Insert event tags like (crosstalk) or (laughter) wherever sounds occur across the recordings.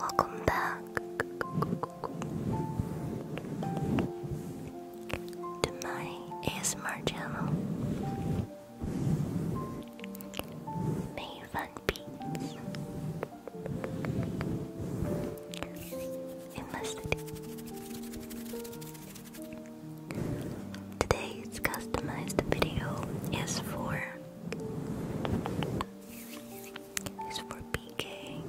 Welcome back to my ASMR channel. Maven Beats in the Today's customized video is for is for PK.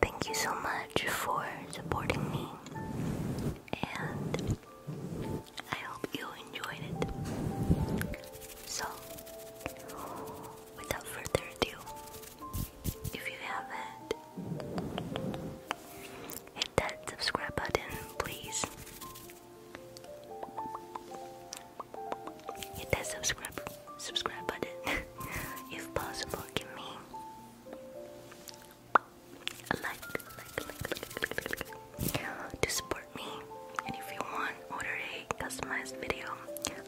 Thank you so much for supporting me, and I hope you enjoyed it. So, without further ado, if you haven't, hit that subscribe button, please. Hit that subscribe subscribe button (laughs) if possible. Give me like, like, to support me. And if you want, order a customized video,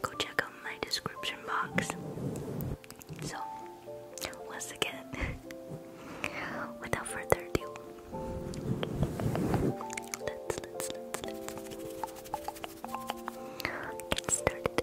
go check out my description box. So, once again, without further ado, let's get started.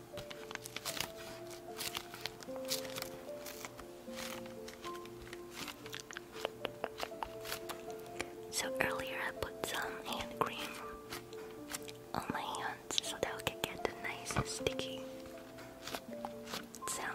So earlier I put some hand cream on my hands so that I could get the nice sticky sound.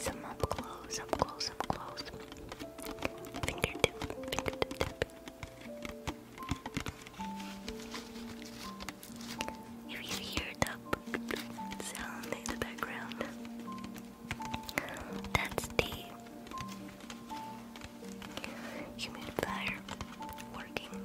Some up close, up close, up close. Fingertip, fingertip tip. If you hear the sound in the background, that's the humidifier working.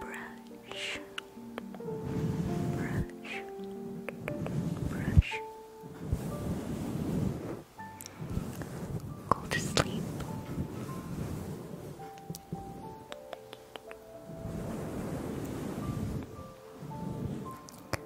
brush, brush, brush. Go to sleep.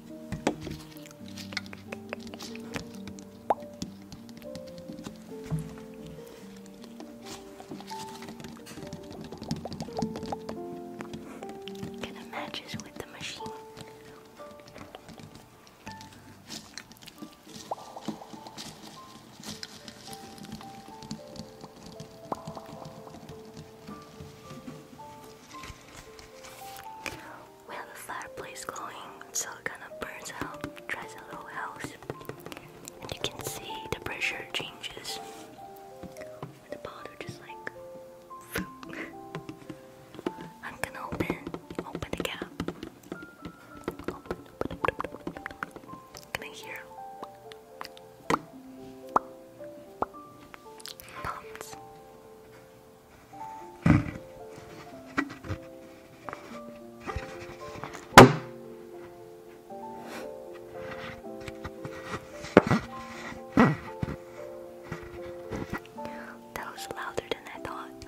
Can it matches with the machine? We have a fireplace going, so it kind of burns out, dries out the house. And you can see the pressure changes. The powder just like. (laughs) I'm gonna open, open the cap. Open, open, hear? That was louder than I thought.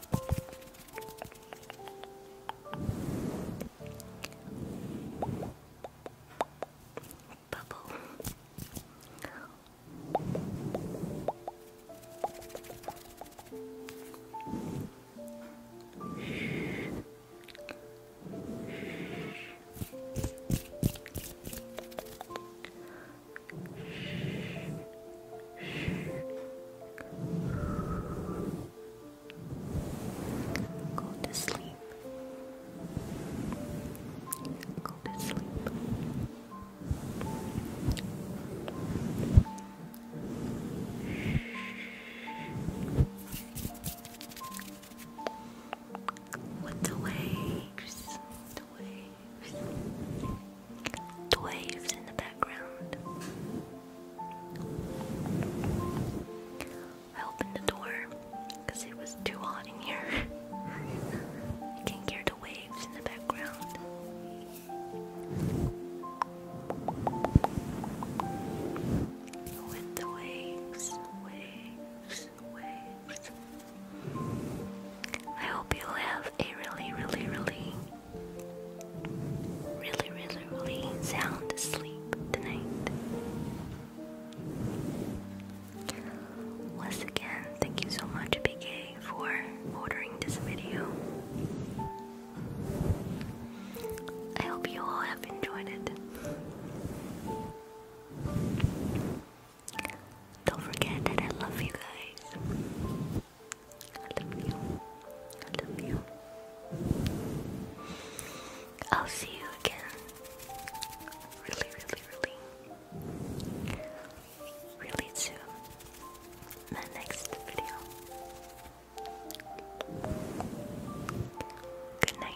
Bubble. Bubble. Go to sleep. Go to sleep. What's away? Just waves. The waves in the background. I opened the door because it was too hot in here. I can hear the waves in the background. With the waves. I hope you have have really, really, really, really, really, really sound sleep tonight. Once again, thank you so much, BK, for ordering this video. I hope you all have enjoyed it. Don't forget that I love you guys. I love you. I love you. I'll see you again. Really, really, really. Really soon. My next video. Good night.